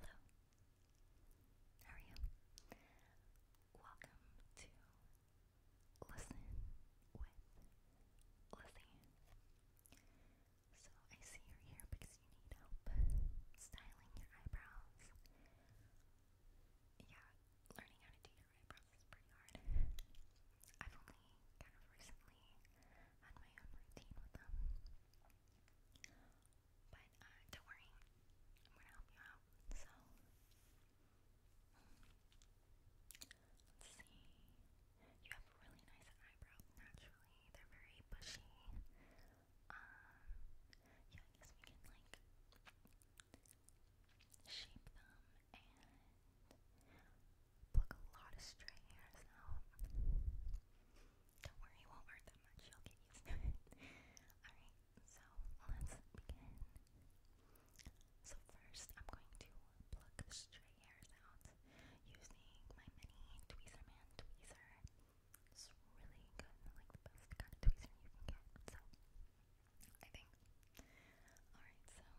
Hello. How are you? Welcome to Listen with Lizzie. So I see you're here because you need help styling your eyebrows. Yeah, learning how to do your eyebrows is pretty hard kind of recently had my own routine with them. But uh, don't worry, I'm gonna help you out. So, let's see. You have really nice eyebrows naturally, they're very bushy. Um, yeah, I guess we can like shape them and pluck a lot of stray hairs out. Don't worry, it won't hurt that much. You'll get used to it. Alright, so let's begin. So first, I'm going to pluck stray hairs out using my mini tweezer man tweezer. It's really good, like the best kind of tweezer you can get. So, I think. Alright, so let's begin.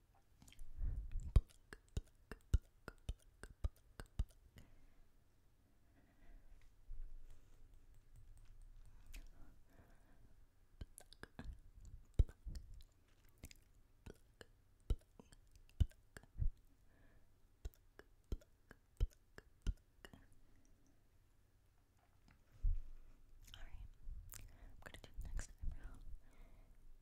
Pluck, pluck, pluck, pluck, pluck, pluck. Pluck, pluck, pluck, pluck, pluck, pluck, pluck. Alright, I'm gonna do the next eyebrow.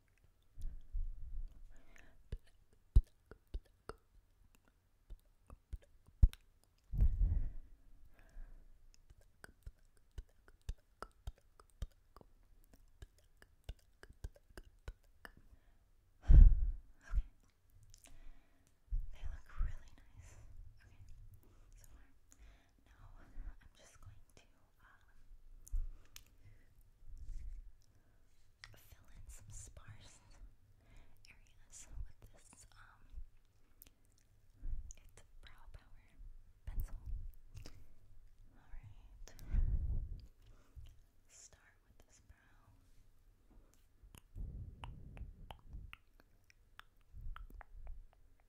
They look really nice. Okay, so far. Now I'm just going to um, fill in some sparse areas with this um, brow power pencil. Alright. Start with this brow.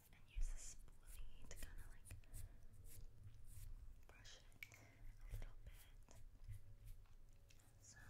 and use a spoolie to kind of like brush it a little bit. So. Okay.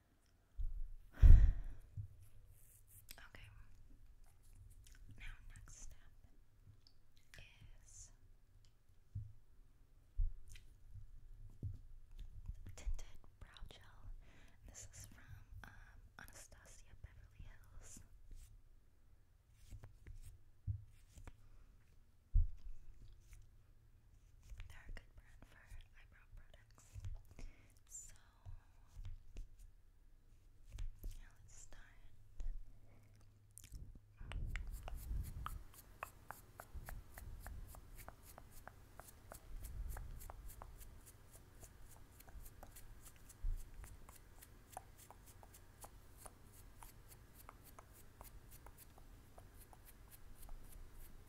Okay. Now, next step is tinted brow gel. This is from um, Anastasia Beverly Hills. They're a good brand for eyebrow products. So yeah, let's start. Okay.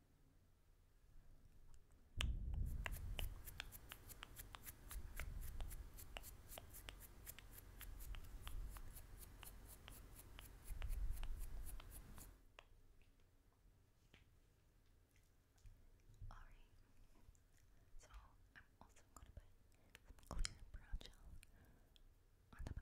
Alright, so I'm also going to put some clear brow gel on top of that.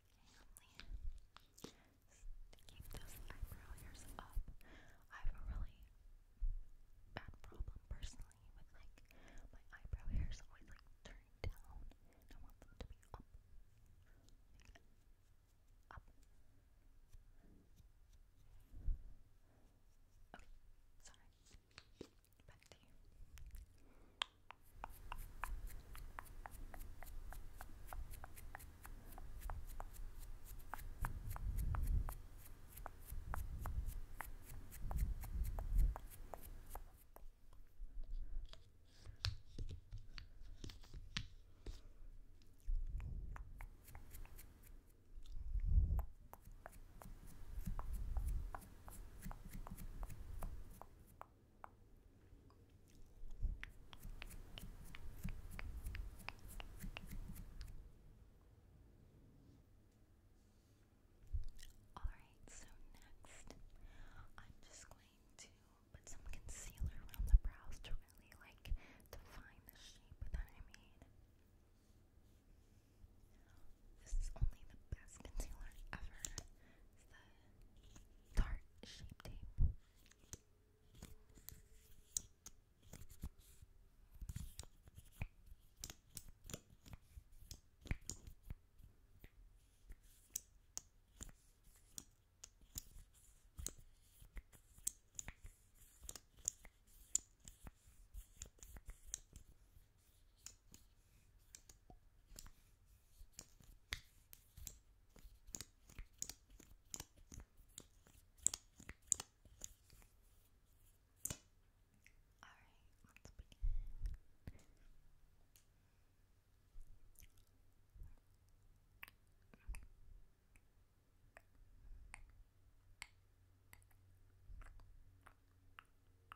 Hang on, Keep those eyebrow hairs up. I have a really bad problem personally with like my eyebrow hairs always like turned down, I want them to be up. up. Okay, sorry. Back to you. Good. Alright, so next, I'm just going to put some concealer around the brows to really like define the shape that I made. This is only the best concealer ever. It's the Tarte Shape Tape. All right, let's begin.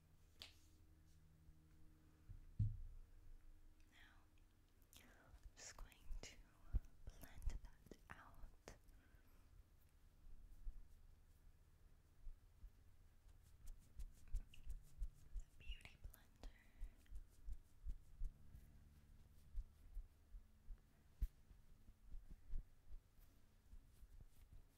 Now, I'm just going to blend that out. beauty blender.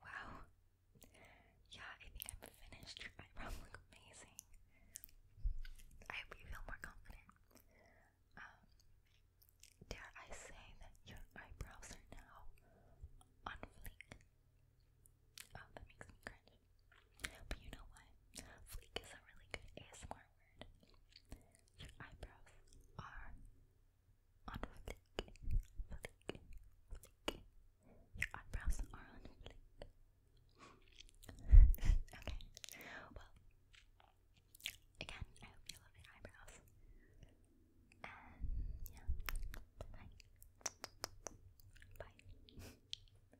Wow. Yeah, I think I'm finished. Your eyebrows amazing. I hope you feel more confident. Um, dare I say that your eyebrows are now on Oh, that makes me cringe. But you know what? Fleek is a really good ASMR Your eyebrows are on fleek. Fleek. Fleek. Your eyebrows are on fleek. okay. Well, again, I hope you love your eyebrows. yeah. Bye. Bye.